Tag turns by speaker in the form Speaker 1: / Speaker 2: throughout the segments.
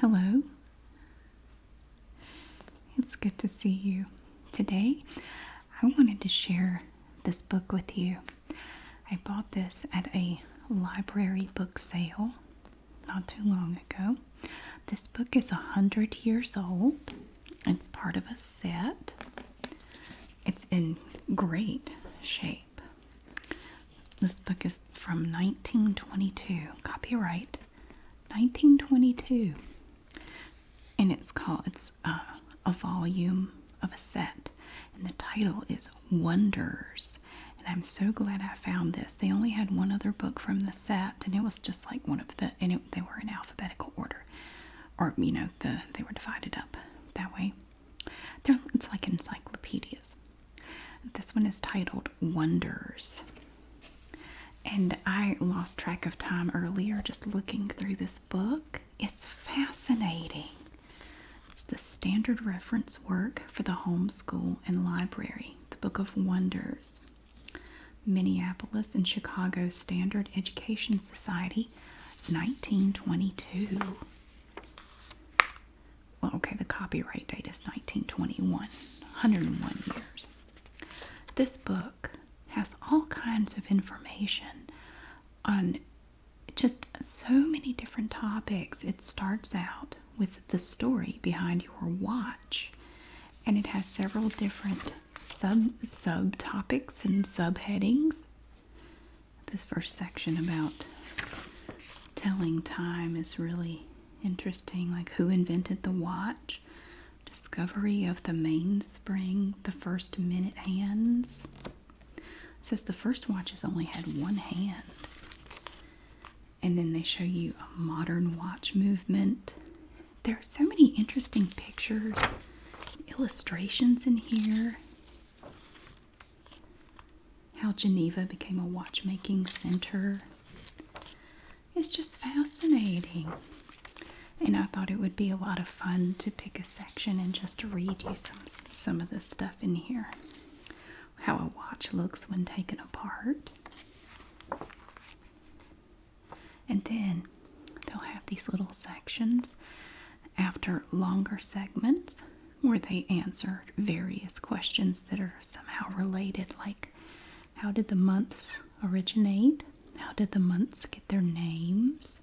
Speaker 1: Hello. It's good to see you. Today, I wanted to share this book with you. I bought this at a library book sale not too long ago. This book is 100 years old. It's part of a set. It's in great shape. This book is from 1922, copyright 1922, and it's called it's uh, a volume of a set, and the title is Wonders. And I'm so glad I found this. They only had one other book from the set, and it was just like one of the and they were in alphabetical order, or you know the they were divided up that way. They're, it's like encyclopedias. This one is titled Wonders. And I lost track of time earlier just looking through this book. It's fascinating. It's the standard reference work for the homeschool and library, the Book of Wonders. Minneapolis and Chicago Standard Education Society, 1922. Well, okay, the copyright date is 1921, 101 years. This book has all kinds of information on just so many different topics. It starts out with the story behind your watch, and it has several different sub subtopics and subheadings this first section about telling time is really interesting. Like, who invented the watch? Discovery of the mainspring, the first minute hands. It says the first watches only had one hand. And then they show you a modern watch movement. There are so many interesting pictures, illustrations in here. How Geneva became a watchmaking center. It's just fascinating. And I thought it would be a lot of fun to pick a section and just read you some some of the stuff in here. How a watch looks when taken apart. And then they'll have these little sections after longer segments where they answer various questions that are somehow related, like how did the months originate? How did the months get their names?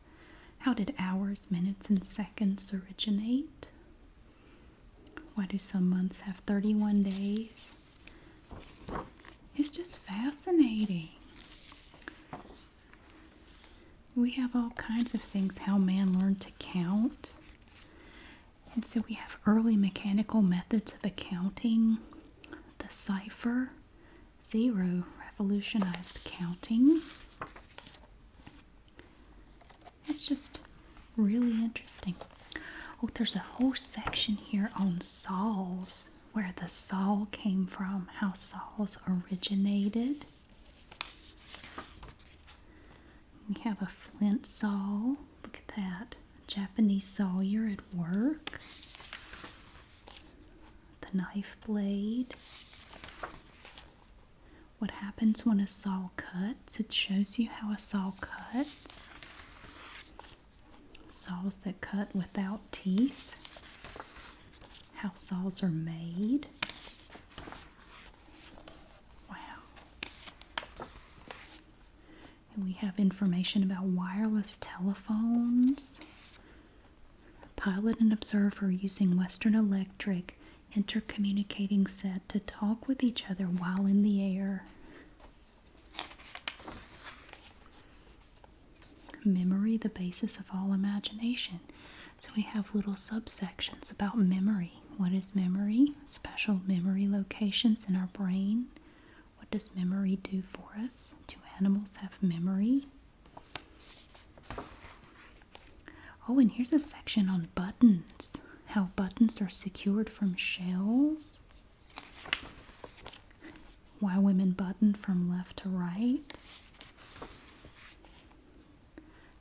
Speaker 1: How did hours, minutes, and seconds originate? Why do some months have 31 days? It's just fascinating. We have all kinds of things how man learned to count. And so we have early mechanical methods of accounting, the cipher, zero revolutionized counting. It's just really interesting. Oh, there's a whole section here on saws, where the saw came from, how saws originated. We have a flint saw. Look at that. A Japanese sawyer at work. The knife blade. What happens when a saw cuts? It shows you how a saw cuts. Saws that cut without teeth. How saws are made. Wow. And we have information about wireless telephones. Pilot and observer using Western Electric intercommunicating set to talk with each other while in the air. Memory, the basis of all imagination. So we have little subsections about memory. What is memory? Special memory locations in our brain. What does memory do for us? Do animals have memory? Oh, and here's a section on buttons. How buttons are secured from shells. Why women button from left to right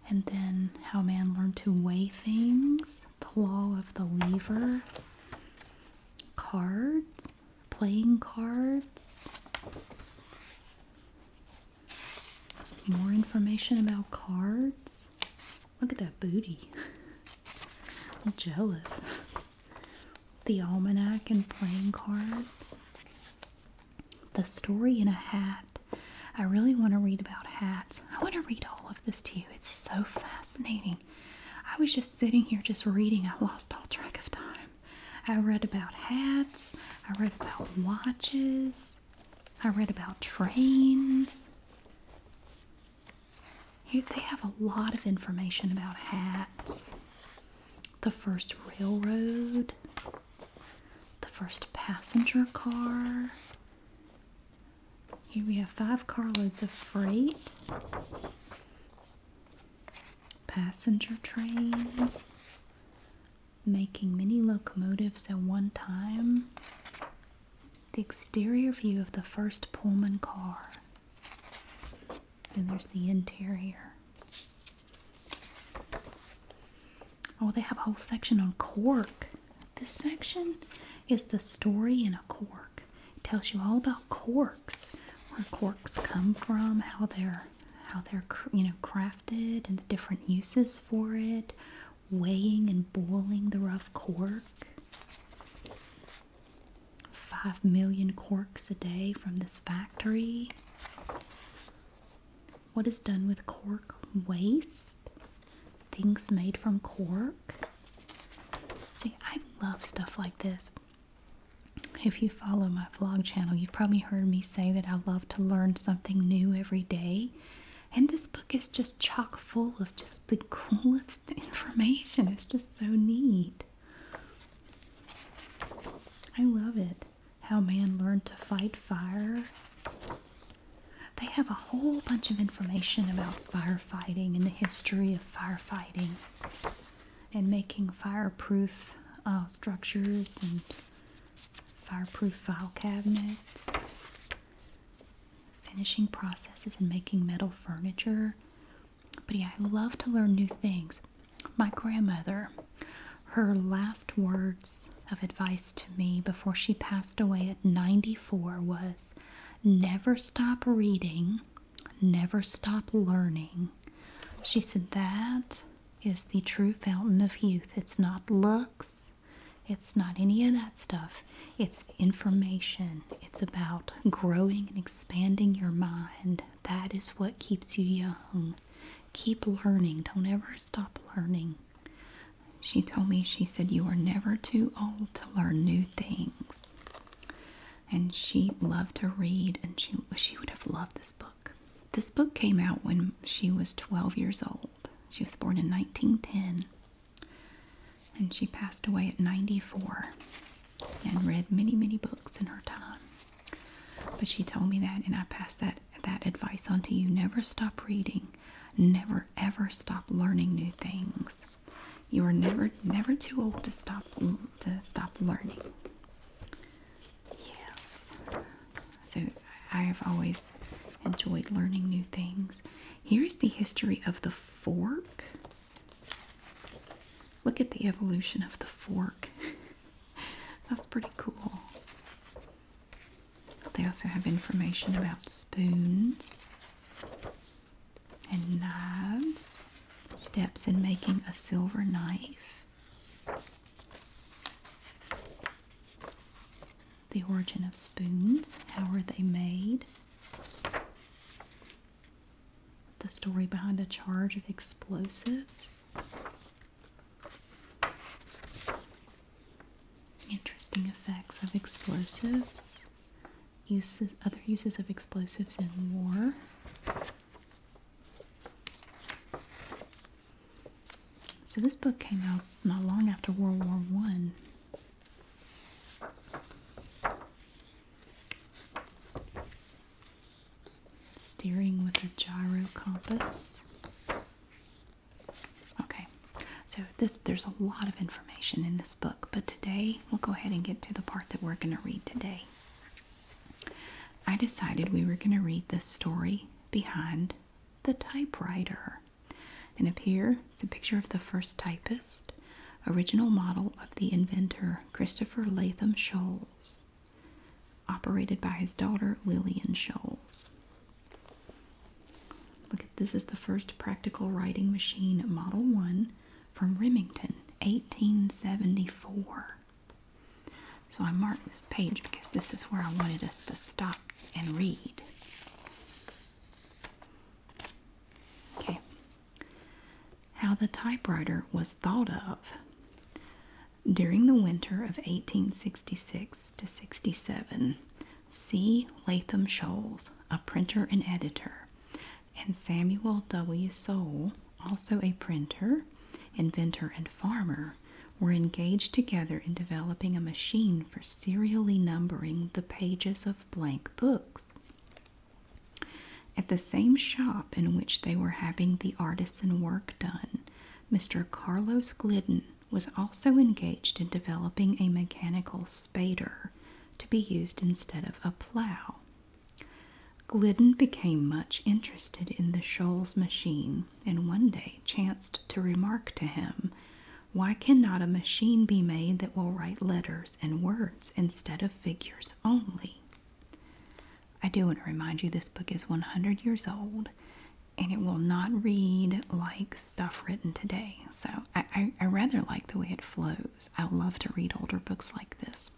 Speaker 1: and then how man learned to weigh things, the law of the lever, cards, playing cards. More information about cards. Look at that booty. I'm jealous. The almanac and playing cards. The Story in a Hat. I really want to read about hats. I want to read all of this to you. It's so fascinating. I was just sitting here just reading. I lost all track of time. I read about hats. I read about watches. I read about trains. they have a lot of information about hats. The first railroad the first passenger car. Here we have five carloads of freight, passenger trains, making many locomotives at one time, the exterior view of the first Pullman car, and there's the interior. Oh, they have a whole section on cork. This section is the story in a cork. It tells you all about corks, where corks come from, how they're how they're you know crafted, and the different uses for it. Weighing and boiling the rough cork. Five million corks a day from this factory. What is done with cork waste? Things made from cork. See, I love stuff like this. If you follow my vlog channel, you've probably heard me say that I love to learn something new every day. And this book is just chock full of just the coolest information. It's just so neat. I love it. How Man Learned to Fight Fire. They have a whole bunch of information about firefighting and the history of firefighting and making fireproof uh, structures and fireproof file cabinets, finishing processes, and making metal furniture. But yeah, I love to learn new things. My grandmother her last words of advice to me before she passed away at 94 was never stop reading, never stop learning. She said that is the true fountain of youth. It's not looks, it's not any of that stuff. It's information. It's about growing and expanding your mind. That is what keeps you young. Keep learning. Don't ever stop learning. She told me, she said, You are never too old to learn new things. And she loved to read, and she, she would have loved this book. This book came out when she was 12 years old. She was born in 1910, and she passed away at 94 and read many, many books in her time. But she told me that, and I passed that that advice unto you. Never stop reading. Never ever stop learning new things. You are never never too old to stop to stop learning. Yes. So I have always enjoyed learning new things. Here's the history of the fork. Look at the evolution of the fork. That's pretty cool. They also have information about spoons and knives, steps in making a silver knife, the origin of spoons, how were they made, the story behind a charge of explosives, Interesting effects of explosives. Uses, other uses of explosives in war. So this book came out not long after World War One. Steering with a gyro compass. Okay, so this there's a lot of information in this book, but today we'll go ahead and get to the part that we're going to read today. I decided we were going to read the story behind the typewriter. And up here is a picture of the first typist, original model of the inventor Christopher Latham Sholes, operated by his daughter Lillian Sholes. Look at this is the first practical writing machine model 1 from Remington 1874. So I marked this page because this is where I wanted us to stop and read. Okay. How the typewriter was thought of. During the winter of 1866 to 67, C. Latham Sholes, a printer and editor, and Samuel W. Soule, also a printer, inventor, and farmer, were engaged together in developing a machine for serially numbering the pages of blank books. At the same shop in which they were having the artisan work done, Mr. Carlos Glidden, was also engaged in developing a mechanical spader to be used instead of a plow. Glidden became much interested in the Shoals machine and one day chanced to remark to him, Why cannot a machine be made that will write letters and words instead of figures only? I do want to remind you this book is 100 years old and it will not read like stuff written today. So I, I, rather like the way it flows. I love to read older books like this.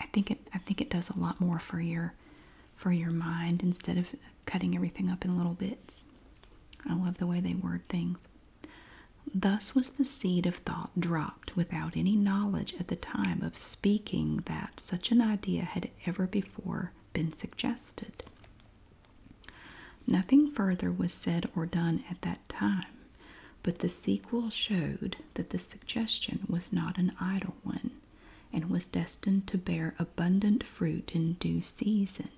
Speaker 1: I think it I think it does a lot more for your for your mind instead of cutting everything up in little bits. I love the way they word things. Thus was the seed of thought dropped without any knowledge at the time of speaking that such an idea had ever before been suggested. Nothing further was said or done at that time, but the sequel showed that the suggestion was not an idle one and was destined to bear abundant fruit in due season.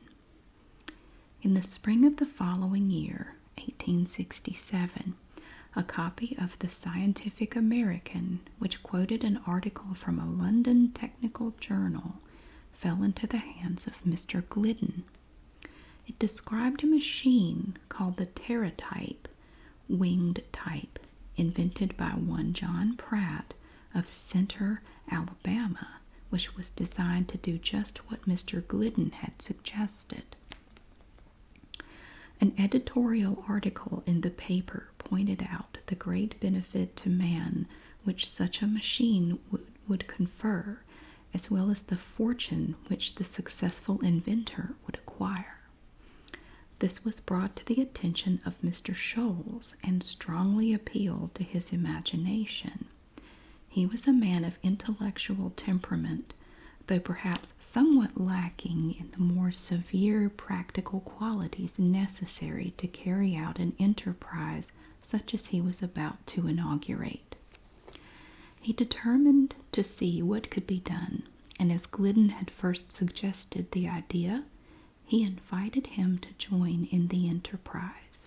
Speaker 1: In the spring of the following year, 1867, a copy of the Scientific American which quoted an article from a London technical journal, fell into the hands of Mr. Glidden. It described a machine called the Teratype, winged type, invented by one John Pratt of Center, Alabama, which was designed to do just what Mr. Glidden had suggested. An editorial article in the paper pointed out the great benefit to man which such a machine would, would confer, as well as the fortune which the successful inventor would acquire. This was brought to the attention of Mr. Sholes and strongly appealed to his imagination. He was a man of intellectual temperament, though perhaps somewhat lacking in the more severe practical qualities necessary to carry out an enterprise such as he was about to inaugurate. He determined to see what could be done, and as Glidden had first suggested the idea, he invited him to join in the enterprise.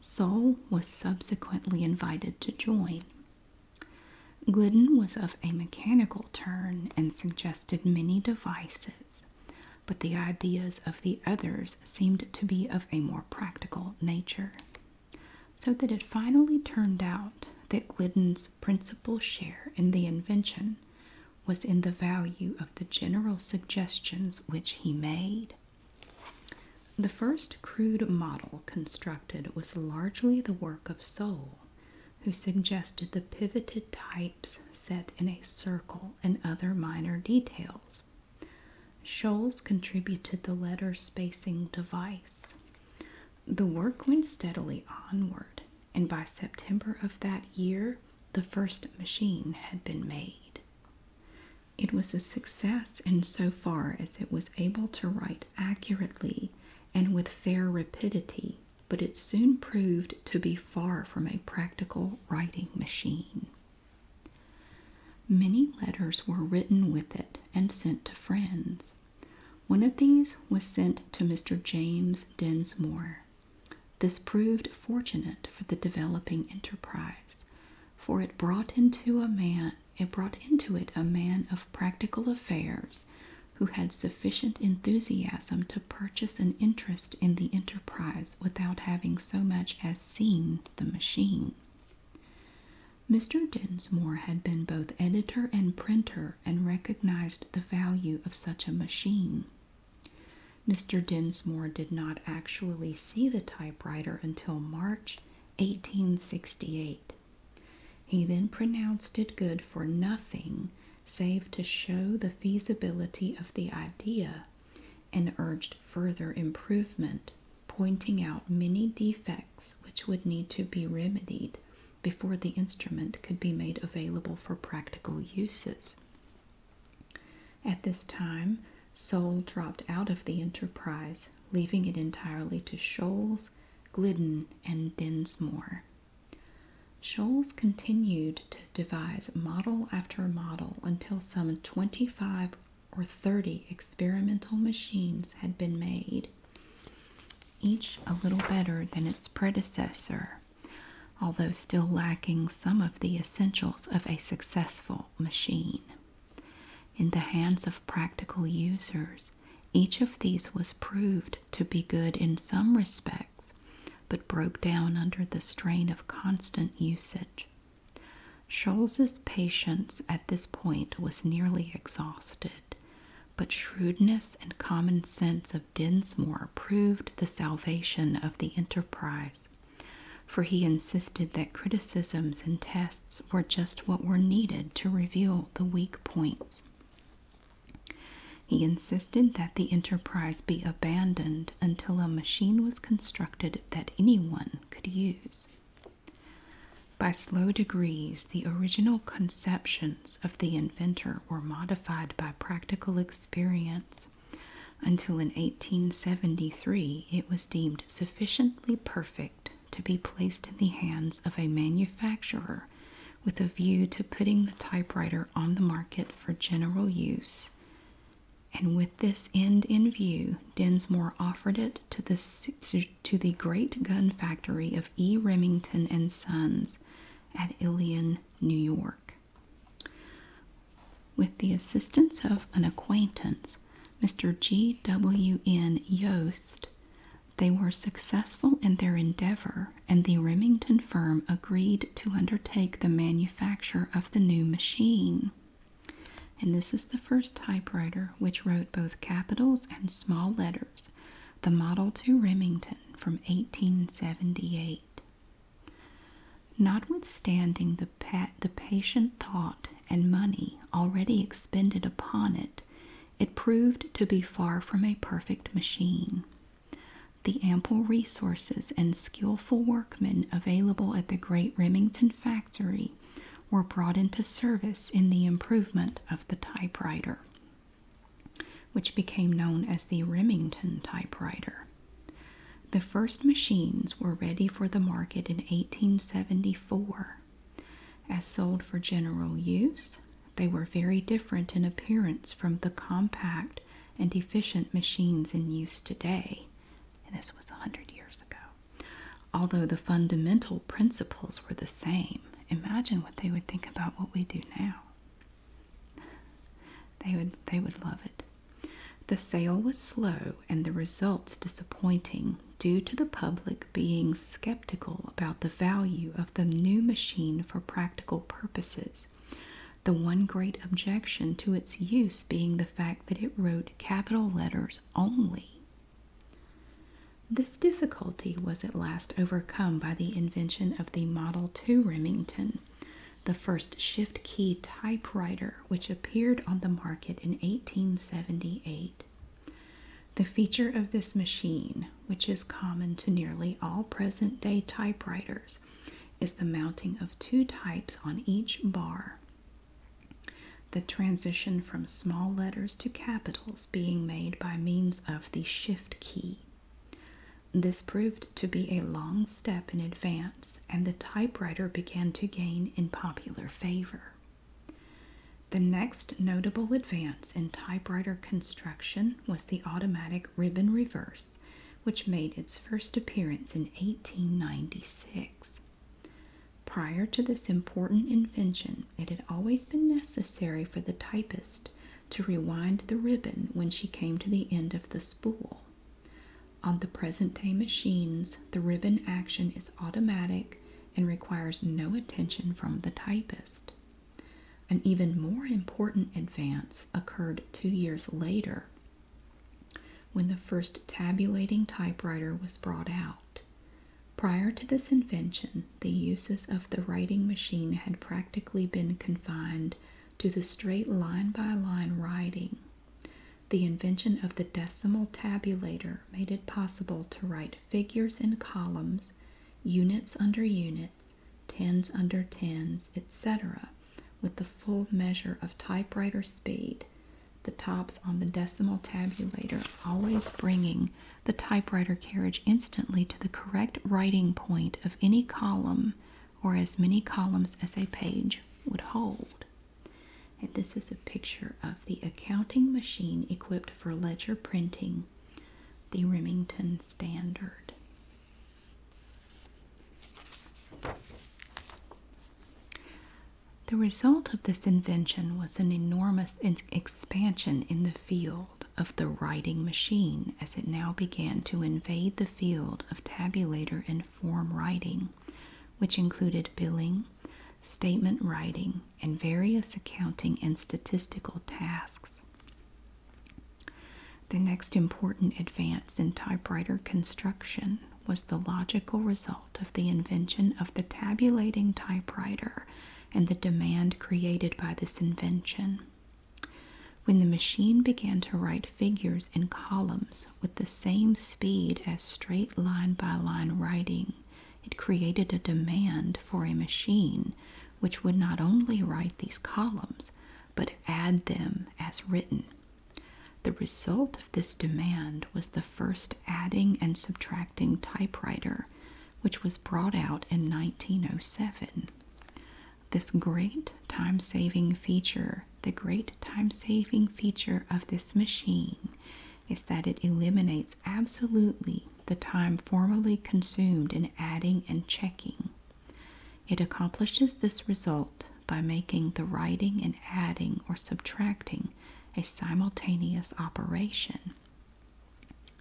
Speaker 1: Soule was subsequently invited to join. Glidden was of a mechanical turn and suggested many devices, but the ideas of the others seemed to be of a more practical nature. So that it finally turned out that Glidden's principal share in the invention was in the value of the general suggestions which he made. The first crude model constructed was largely the work of Soule, who suggested the pivoted types set in a circle and other minor details. Scholes contributed the letter spacing device. The work went steadily onward, and by September of that year, the first machine had been made. It was a success in so far as it was able to write accurately and with fair rapidity but it soon proved to be far from a practical writing machine. Many letters were written with it and sent to friends. One of these was sent to Mr. James Densmore. This proved fortunate for the developing enterprise, for it brought into a man it brought into it a man of practical affairs who had sufficient enthusiasm to purchase an interest in the enterprise without having so much as seen the machine. Mr. Dinsmore had been both editor and printer and recognized the value of such a machine. Mr. Dinsmore did not actually see the typewriter until March 1868. He then pronounced it good for nothing save to show the feasibility of the idea and urged further improvement, pointing out many defects which would need to be remedied before the instrument could be made available for practical uses. At this time, Soule dropped out of the enterprise, leaving it entirely to Sholes, Glidden, and Dinsmore. Scholes continued to devise model after model until some 25 or 30 experimental machines had been made, each a little better than its predecessor, although still lacking some of the essentials of a successful machine. In the hands of practical users, each of these was proved to be good in some respect but broke down under the strain of constant usage. Scholz's patience at this point was nearly exhausted, but shrewdness and common sense of Dinsmore proved the salvation of the enterprise, for he insisted that criticisms and tests were just what were needed to reveal the weak points. He insisted that the enterprise be abandoned until a machine was constructed that anyone could use. By slow degrees, the original conceptions of the inventor were modified by practical experience until in 1873 it was deemed sufficiently perfect to be placed in the hands of a manufacturer with a view to putting the typewriter on the market for general use. And with this end in view, Densmore offered it to the, to the great gun factory of E. Remington and Sons at Ilion, New York. With the assistance of an acquaintance, Mr. G. W. N. Yost, they were successful in their endeavor and the Remington firm agreed to undertake the manufacture of the new machine. And this is the first typewriter which wrote both capitals and small letters, the Model 2 Remington from 1878. Notwithstanding the, the patient thought and money already expended upon it, it proved to be far from a perfect machine. The ample resources and skillful workmen available at the great Remington factory were brought into service in the improvement of the typewriter, which became known as the Remington typewriter. The first machines were ready for the market in 1874, as sold for general use they were very different in appearance from the compact and efficient machines in use today, and this was a hundred years ago. Although the fundamental principles were the same, imagine what they would think about what we do now. They would they would love it. The sale was slow and the results disappointing due to the public being skeptical about the value of the new machine for practical purposes the one great objection to its use being the fact that it wrote capital letters only. This difficulty was at last overcome by the invention of the Model 2 Remington, the first shift key typewriter which appeared on the market in 1878. The feature of this machine which is common to nearly all present day typewriters, is the mounting of two types on each bar. The transition from small letters to capitals being made by means of the shift key. This proved to be a long step in advance, and the typewriter began to gain in popular favor. The next notable advance in typewriter construction was the automatic ribbon reverse, which made its first appearance in 1896. Prior to this important invention, it had always been necessary for the typist to rewind the ribbon when she came to the end of the spool. On the present day machines, the ribbon action is automatic and requires no attention from the typist. An even more important advance occurred two years later when the first tabulating typewriter was brought out. Prior to this invention, the uses of the writing machine had practically been confined to the straight line by line writing. The invention of the decimal tabulator made it possible to write figures in columns, units under units, tens under tens, etc., with the full measure of typewriter speed, the tops on the decimal tabulator always bringing the typewriter carriage instantly to the correct writing point of any column or as many columns as a page would hold. And this is a picture of the accounting machine equipped for ledger printing the Remington standard. The result of this invention was an enormous expansion in the field of the writing machine as it now began to invade the field of tabulator and form writing, which included billing, statement writing, and various accounting and statistical tasks. The next important advance in typewriter construction was the logical result of the invention of the tabulating typewriter and the demand created by this invention. When the machine began to write figures in columns with the same speed as straight line by line writing, it created a demand for a machine which would not only write these columns but add them as written. The result of this demand was the first adding and subtracting typewriter, which was brought out in 1907. This great time saving feature, the great time saving feature of this machine, is that it eliminates absolutely the time formerly consumed in adding and checking. It accomplishes this result by making the writing and adding or subtracting a simultaneous operation.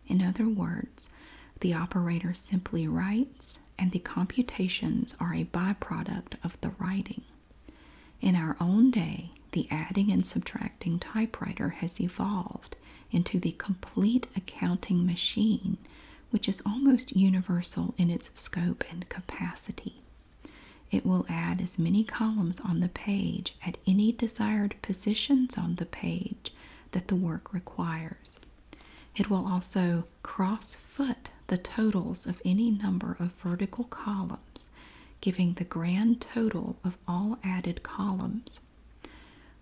Speaker 1: In other words, the operator simply writes and the computations are a byproduct of the writing. In our own day, the adding and subtracting typewriter has evolved into the complete accounting machine, which is almost universal in its scope and capacity. It will add as many columns on the page at any desired positions on the page that the work requires. It will also cross foot the totals of any number of vertical columns, giving the grand total of all added columns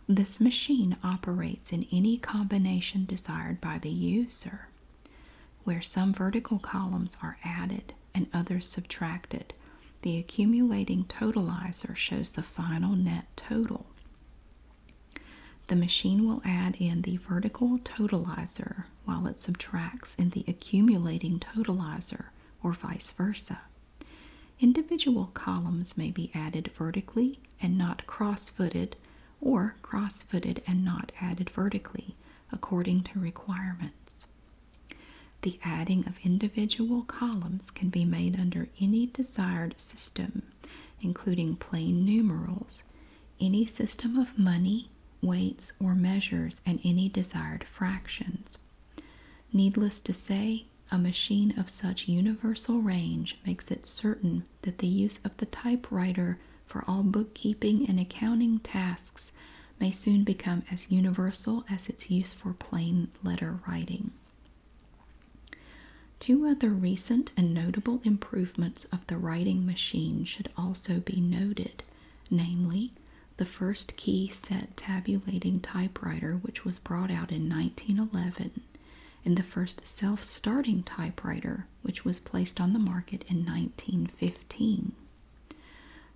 Speaker 1: this machine operates in any combination desired by the user, where some vertical columns are added and others subtracted. The accumulating totalizer shows the final net total. The machine will add in the vertical totalizer while it subtracts in the accumulating totalizer, or vice versa. Individual columns may be added vertically and not cross footed, or cross footed and not added vertically, according to requirements. The adding of individual columns can be made under any desired system, including plain numerals, any system of money, weights, or measures, and any desired fractions. Needless to say, a machine of such universal range makes it certain that the use of the typewriter for all bookkeeping and accounting tasks may soon become as universal as its use for plain letter writing. Two other recent and notable improvements of the writing machine should also be noted, namely, the first key set tabulating typewriter, which was brought out in 1911, in the first self starting typewriter, which was placed on the market in 1915.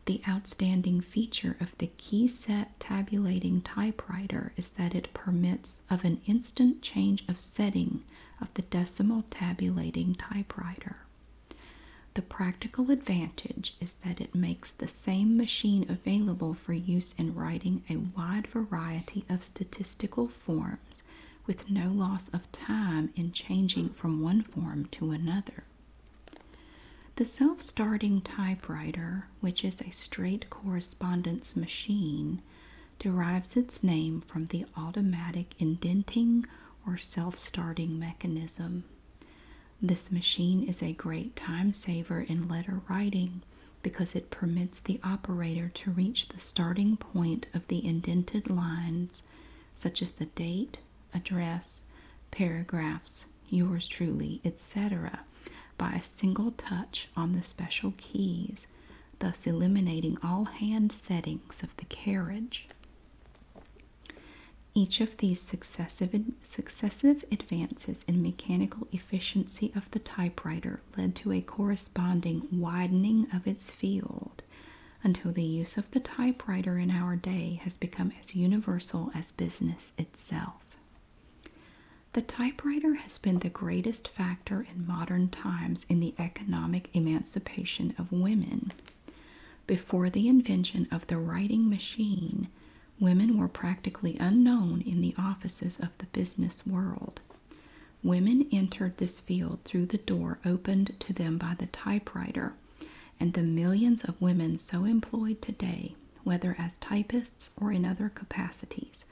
Speaker 1: The outstanding feature of the key-set tabulating typewriter is that it permits of an instant change of setting of the decimal tabulating typewriter. The practical advantage is that it makes the same machine available for use in writing a wide variety of statistical forms with no loss of time in changing from one form to another. The self starting typewriter, which is a straight correspondence machine, derives its name from the automatic indenting or self starting mechanism. This machine is a great time saver in letter writing because it permits the operator to reach the starting point of the indented lines, such as the date, address, paragraphs, yours truly, etc., by a single touch on the special keys, thus eliminating all hand settings of the carriage. Each of these successive, successive advances in mechanical efficiency of the typewriter led to a corresponding widening of its field until the use of the typewriter in our day has become as universal as business itself. The typewriter has been the greatest factor in modern times in the economic emancipation of women. Before the invention of the writing machine, women were practically unknown in the offices of the business world. Women entered this field through the door opened to them by the typewriter, and the millions of women so employed today, whether as typists or in other capacities,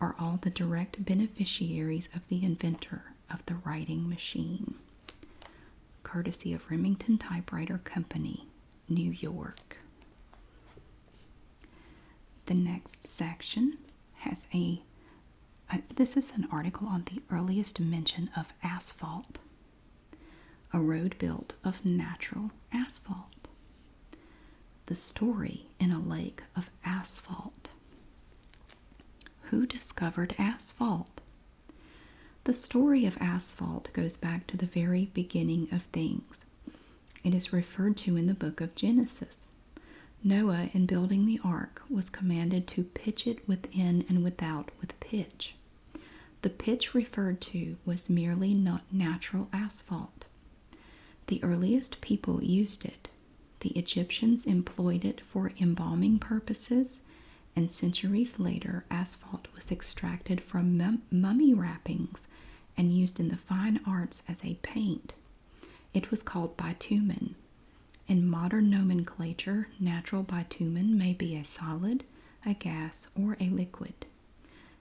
Speaker 1: are all the direct beneficiaries of the inventor of the writing machine. Courtesy of Remington Typewriter Company, New York. The next section has a, this is an article on the earliest mention of asphalt. A road built of natural asphalt. The story in a lake of asphalt. Who discovered asphalt? The story of asphalt goes back to the very beginning of things. It is referred to in the book of Genesis. Noah, in building the ark, was commanded to pitch it within and without with pitch. The pitch referred to was merely not natural asphalt. The earliest people used it. The Egyptians employed it for embalming purposes, and centuries later, asphalt was extracted from mummy wrappings and used in the fine arts as a paint. It was called bitumen. In modern nomenclature, natural bitumen may be a solid, a gas, or a liquid.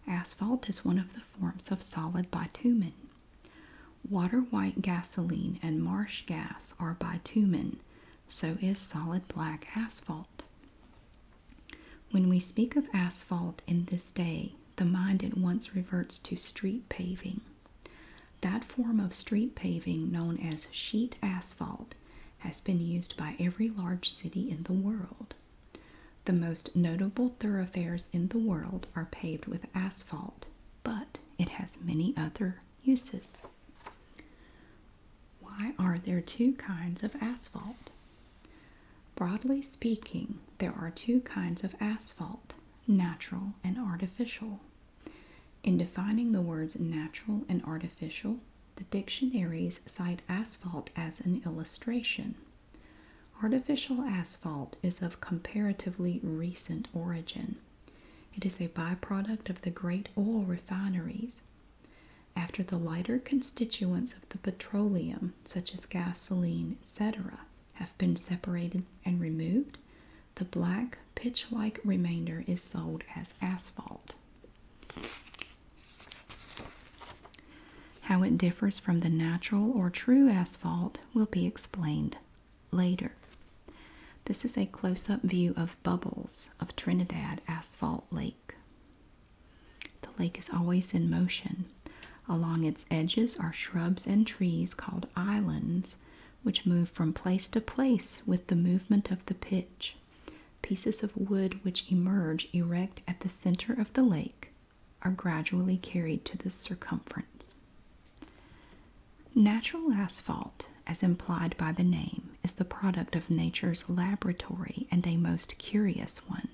Speaker 1: Asphalt is one of the forms of solid bitumen. Water white gasoline and marsh gas are bitumen, so is solid black asphalt. When we speak of asphalt in this day, the mind at once reverts to street paving. That form of street paving, known as sheet asphalt, has been used by every large city in the world. The most notable thoroughfares in the world are paved with asphalt, but it has many other uses. Why are there two kinds of asphalt? Broadly speaking, there are two kinds of asphalt natural, and artificial. In defining the words natural and artificial, the dictionaries cite asphalt as an illustration. Artificial asphalt is of comparatively recent origin. It is a byproduct of the great oil refineries. After the lighter constituents of the petroleum, such as gasoline, etc., have been separated and removed, the black pitch like remainder is sold as asphalt. How it differs from the natural or true asphalt will be explained later. This is a close up view of bubbles of Trinidad Asphalt Lake. The lake is always in motion Along its edges are shrubs and trees called islands, which move from place to place with the movement of the pitch. Pieces of wood which emerge erect at the center of the lake are gradually carried to the circumference. Natural asphalt, as implied by the name, is the product of nature's laboratory and a most curious one.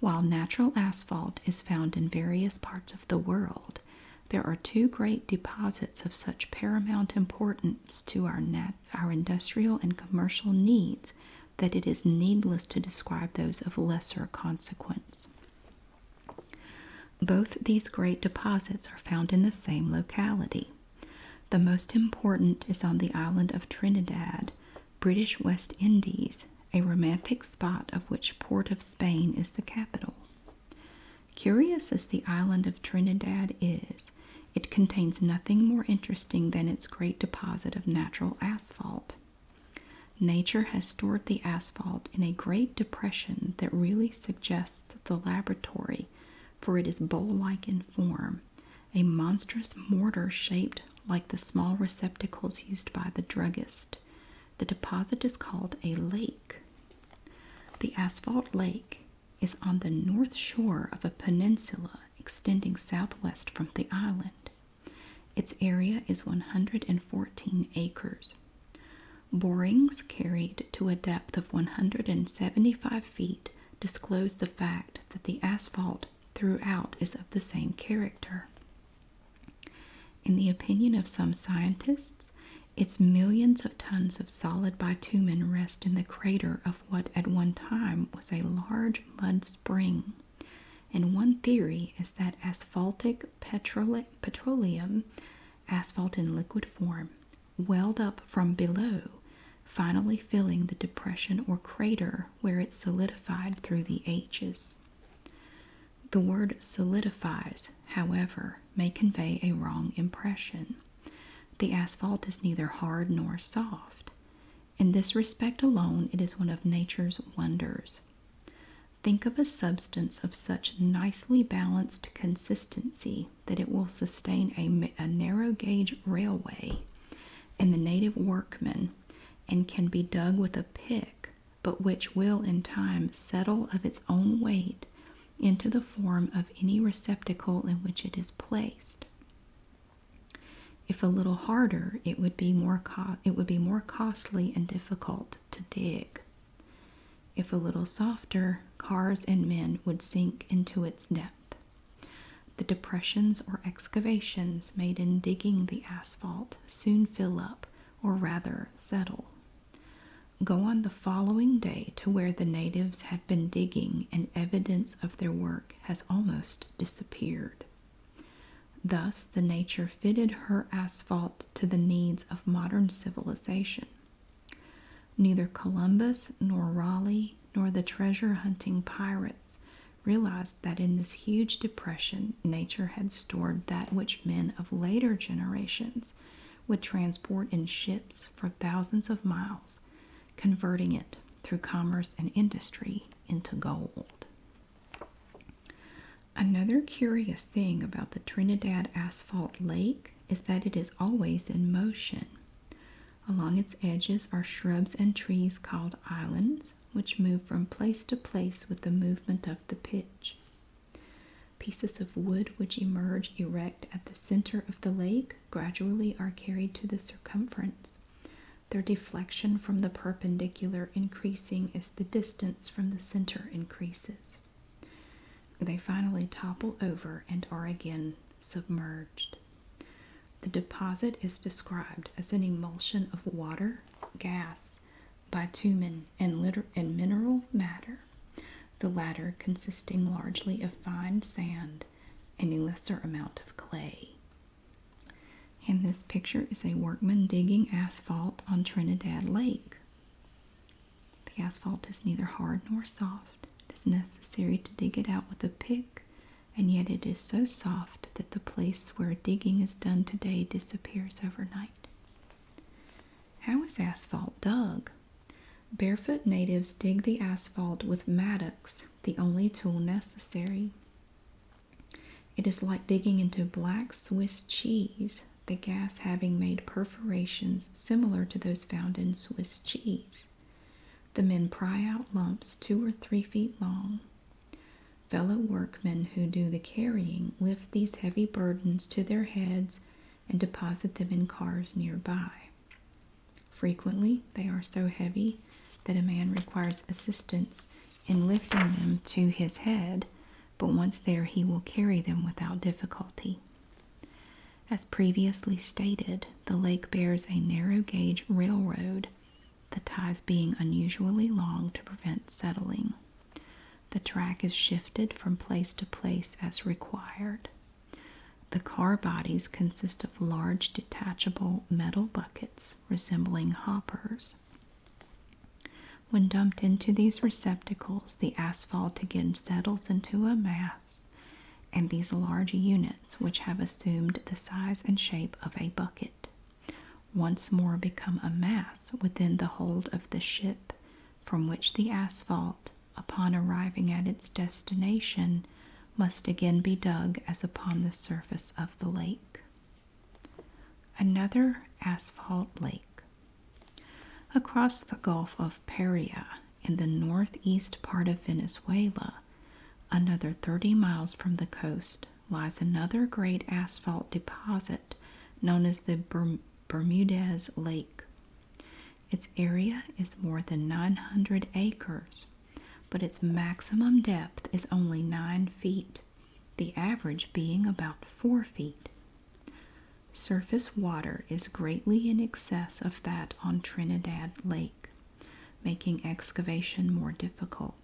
Speaker 1: While natural asphalt is found in various parts of the world, there are two great deposits of such paramount importance to our, industrial and commercial needs that it is needless to describe those of lesser consequence. Both these great deposits are found in the same locality. The most important is on the island of Trinidad, British West Indies, a romantic spot of which Port of Spain is the capital. Curious as the island of Trinidad is, it contains nothing more interesting than its great deposit of natural asphalt. Nature has stored the asphalt in a great depression that really suggests the laboratory, for it is bowl like in form, a monstrous mortar shaped like the small receptacles used by the druggist. The deposit is called a lake. The asphalt lake is on the north shore of a peninsula extending southwest from the island. Its area is 114 acres. Borings carried to a depth of 175 feet disclose the fact that the asphalt throughout is of the same character. In the opinion of some scientists, its millions of tons of solid bitumen rest in the crater of what at one time was a large mud spring. And one theory is that asphaltic petrole petroleum, asphalt in liquid form, welled up from below, finally filling the depression or crater where it solidified through the ages. The word solidifies, however, may convey a wrong impression. The asphalt is neither hard nor soft. In this respect alone, it is one of nature's wonders. Think of a substance of such nicely balanced consistency that it will sustain a, narrow gauge railway and the native workmen, and can be dug with a pick but which will in time settle of its own weight into the form of any receptacle in which it is placed. If a little harder, it would be more it would be more costly and difficult to dig. If a little softer, cars and men would sink into its depth. The depressions or excavations made in digging the asphalt soon fill up or rather settle. Go on the following day to where the natives have been digging and evidence of their work has almost disappeared. Thus, the nature fitted her asphalt to the needs of modern civilization. Neither Columbus nor Raleigh nor the treasure hunting pirates realized that in this huge depression, nature had stored that which men of later generations would transport in ships for thousands of miles, converting it through commerce and industry into gold. Another curious thing about the Trinidad Asphalt Lake is that it is always in motion. Along its edges are shrubs and trees called islands, which move from place to place with the movement of the pitch. Pieces of wood which emerge erect at the center of the lake gradually are carried to the circumference, their deflection from the perpendicular increasing as the distance from the center increases. They finally topple over and are again submerged. The deposit is described as an emulsion of water, gas, bitumen, and, and mineral matter, the latter consisting largely of fine sand and a lesser amount of clay. And this picture is a workman digging asphalt on Trinidad Lake. The asphalt is neither hard nor soft. It is necessary to dig it out with a pick, and yet it is so soft that the place where digging is done today disappears overnight. How is asphalt dug? Barefoot natives dig the asphalt with mattocks, the only tool necessary. It is like digging into black Swiss cheese, the gas having made perforations similar to those found in Swiss cheese. The men pry out lumps two or three feet long, Fellow workmen who do the carrying lift these heavy burdens to their heads and deposit them in cars nearby. Frequently, they are so heavy that a man requires assistance in lifting them to his head, but once there, he will carry them without difficulty. As previously stated, the lake bears a narrow gauge railroad the ties being unusually long to prevent settling. The track is shifted from place to place as required. The car bodies consist of large detachable metal buckets resembling hoppers. When dumped into these receptacles, the asphalt again settles into a mass, and these large units, which have assumed the size and shape of a bucket, once more become a mass within the hold of the ship, from which the asphalt, upon arriving at its destination, must again be dug as upon the surface of the lake. Another asphalt lake. Across the Gulf of Paria, in the northeast part of Venezuela, another 30 miles from the coast, lies another great asphalt deposit known as the Bermudez Lake. Its area is more than 900 acres, but its maximum depth is only 9 feet, the average being about 4 feet. Surface water is greatly in excess of that on Trinidad Lake, making excavation more difficult.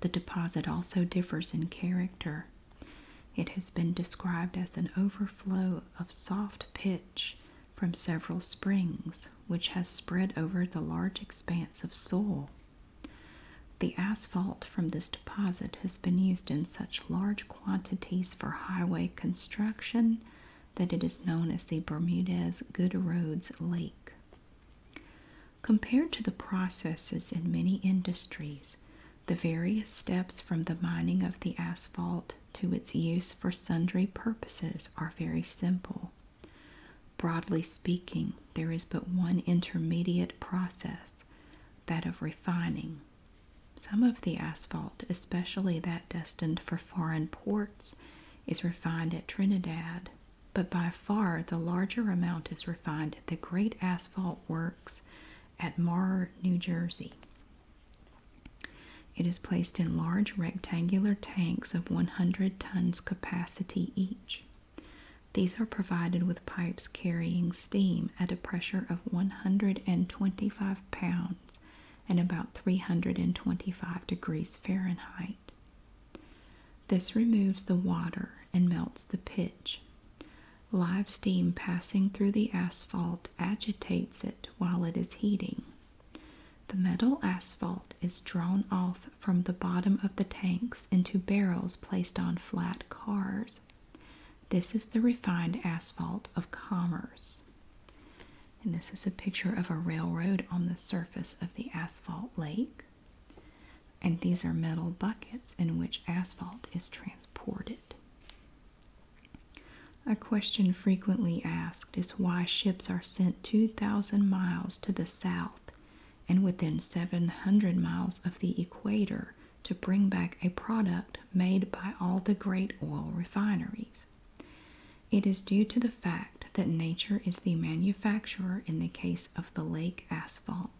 Speaker 1: The deposit also differs in character. It has been described as an overflow of soft pitch from several springs, which has spread over the large expanse of soil. The asphalt from this deposit has been used in such large quantities for highway construction that it is known as the Bermudez Good Roads Lake. Compared to the processes in many industries, the various steps from the mining of the asphalt to its use for sundry purposes are very simple. Broadly speaking, there is but one intermediate process, that of refining. Some of the asphalt, especially that destined for foreign ports, is refined at Trinidad but by far the larger amount is refined at the great asphalt works at Marr, New Jersey. It is placed in large rectangular tanks of 100 tons capacity each. These are provided with pipes carrying steam at a pressure of 125 pounds and about 325 degrees Fahrenheit. This removes the water and melts the pitch. Live steam passing through the asphalt agitates it while it is heating. The metal asphalt is drawn off from the bottom of the tanks into barrels placed on flat cars. This is the refined asphalt of commerce. And this is a picture of a railroad on the surface of the asphalt lake. And these are metal buckets in which asphalt is transported. A question frequently asked is why ships are sent 2,000 miles to the south and within 700 miles of the equator to bring back a product made by all the great oil refineries. It is due to the fact that nature is the manufacturer in the case of the lake asphalt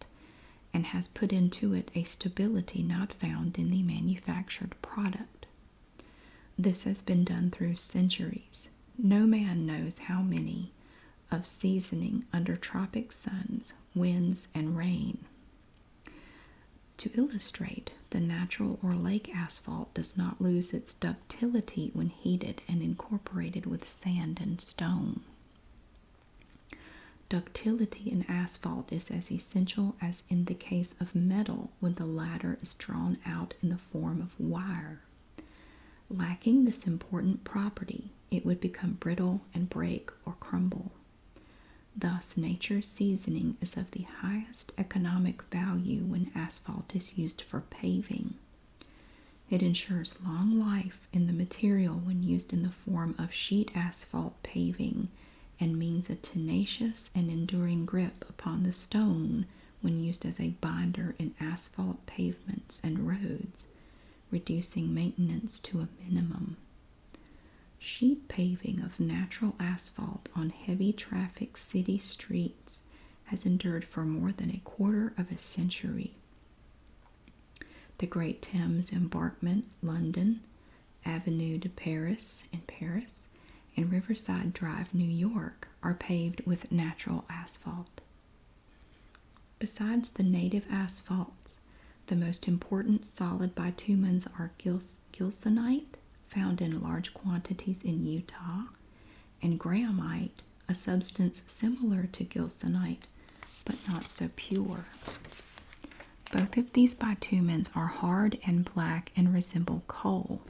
Speaker 1: and has put into it a stability not found in the manufactured product. This has been done through centuries. No man knows how many of seasoning under tropic suns, winds, and rain. To illustrate, the natural or lake asphalt does not lose its ductility when heated and incorporated with sand and stone. Ductility in asphalt is as essential as in the case of metal when the latter is drawn out in the form of wire. Lacking this important property, it would become brittle and break or crumble. Thus, nature's seasoning is of the highest economic value when asphalt is used for paving. It ensures long life in the material when used in the form of sheet asphalt paving and means a tenacious and enduring grip upon the stone when used as a binder in asphalt pavements and roads, reducing maintenance to a minimum. Sheet paving of natural asphalt on heavy traffic city streets has endured for more than a quarter of a century the Great Thames Embarkment, London, Avenue de Paris in Paris, and Riverside Drive, New York, are paved with natural asphalt. Besides the native asphalts, the most important solid bitumens are gilsonite, found in large quantities in Utah, and grahamite, a substance similar to gilsonite but not so pure. Both of these bitumens are hard and black and resemble coal.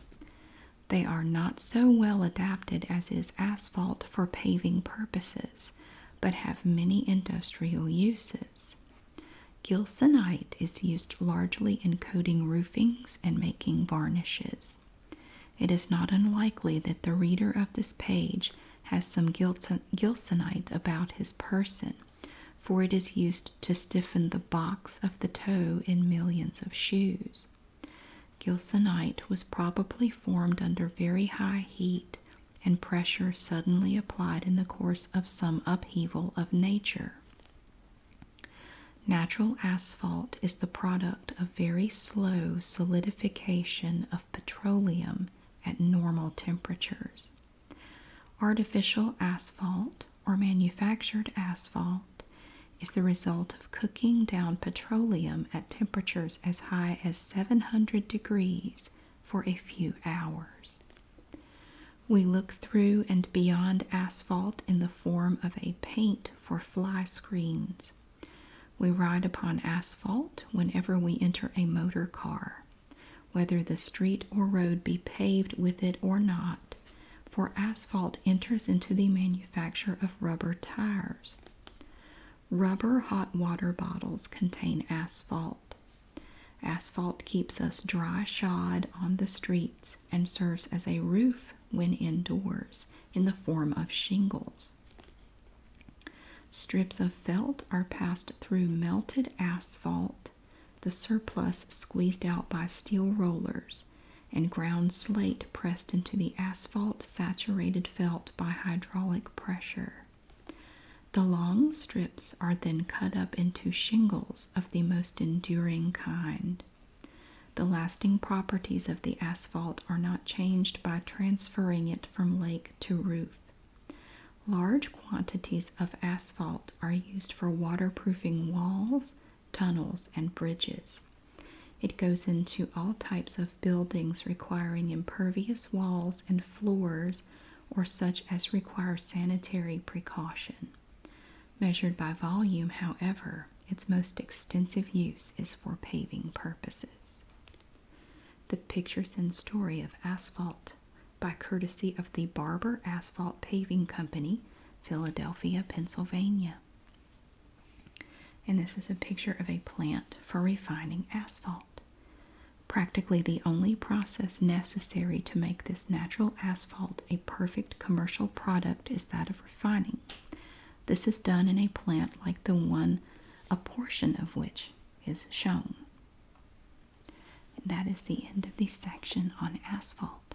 Speaker 1: They are not so well adapted as is asphalt for paving purposes, but have many industrial uses. Gilsonite is used largely in coating roofings and making varnishes. It is not unlikely that the reader of this page has some gilsonite about his person, for it is used to stiffen the box of the toe in millions of shoes. Gilsonite was probably formed under very high heat and pressure suddenly applied in the course of some upheaval of nature. Natural asphalt is the product of very slow solidification of petroleum at normal temperatures. Artificial asphalt or manufactured asphalt is the result of cooking down petroleum at temperatures as high as 700 degrees for a few hours. We look through and beyond asphalt in the form of a paint for fly screens. We ride upon asphalt whenever we enter a motor car, whether the street or road be paved with it or not, for asphalt enters into the manufacture of rubber tires. Rubber hot water bottles contain asphalt. Asphalt keeps us dry shod on the streets and serves as a roof when indoors in the form of shingles. Strips of felt are passed through melted asphalt, the surplus squeezed out by steel rollers, and ground slate pressed into the asphalt saturated felt by hydraulic pressure. The long strips are then cut up into shingles of the most enduring kind. The lasting properties of the asphalt are not changed by transferring it from lake to roof. Large quantities of asphalt are used for waterproofing walls, tunnels, and bridges. It goes into all types of buildings requiring impervious walls and floors or such as require sanitary precaution. Measured by volume, however, its most extensive use is for paving purposes. The Pictures and Story of Asphalt by courtesy of the Barber Asphalt Paving Company, Philadelphia, Pennsylvania. And this is a picture of a plant for refining asphalt. Practically the only process necessary to make this natural asphalt a perfect commercial product is that of refining. This is done in a plant like the one a portion of which is shown. that is the end of the section on asphalt.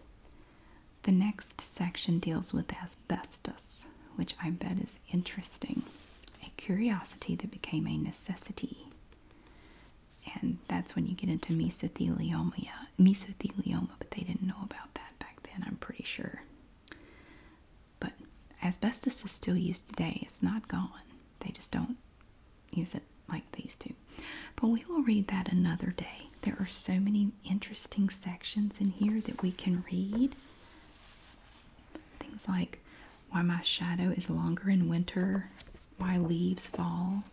Speaker 1: The next section deals with asbestos, which I bet is interesting. A curiosity that became a necessity. And that's when you get into mesothelioma, mesothelioma, but they didn't know about that back then, I'm pretty sure. But asbestos is still used today. It's not gone. They just don't use it like they used to. But we will read that another day. There are so many interesting sections in here that we can read. Things like why my shadow is longer in winter, why leaves fall,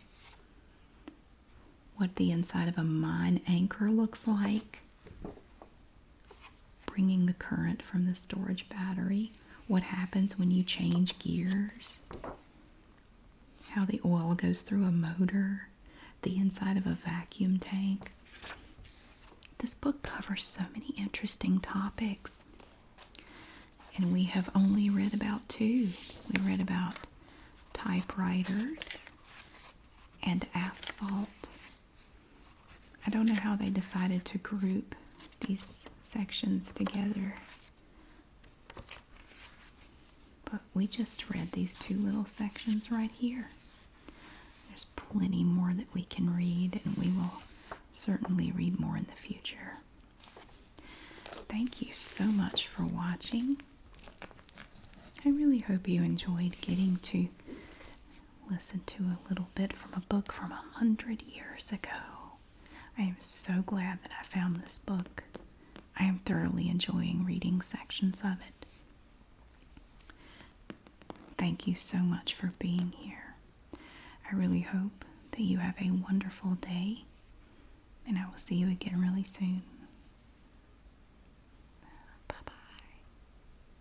Speaker 1: what the inside of a mine anchor looks like, bringing the current from the storage battery, what happens when you change gears, how the oil goes through a motor, the inside of a vacuum tank. This book covers so many interesting topics. And we have only read about two. We read about typewriters and asphalt I don't know how they decided to group these sections together. But we just read these two little sections right here. There's plenty more that we can read, and we will certainly read more in the future. Thank you so much for watching. I really hope you enjoyed getting to Listen to a little bit from a book from a hundred years ago. I am so glad that I found this book. I am thoroughly enjoying reading sections of it. Thank you so much for being here. I really hope that you have a wonderful day, and I will see you again really soon. Bye bye.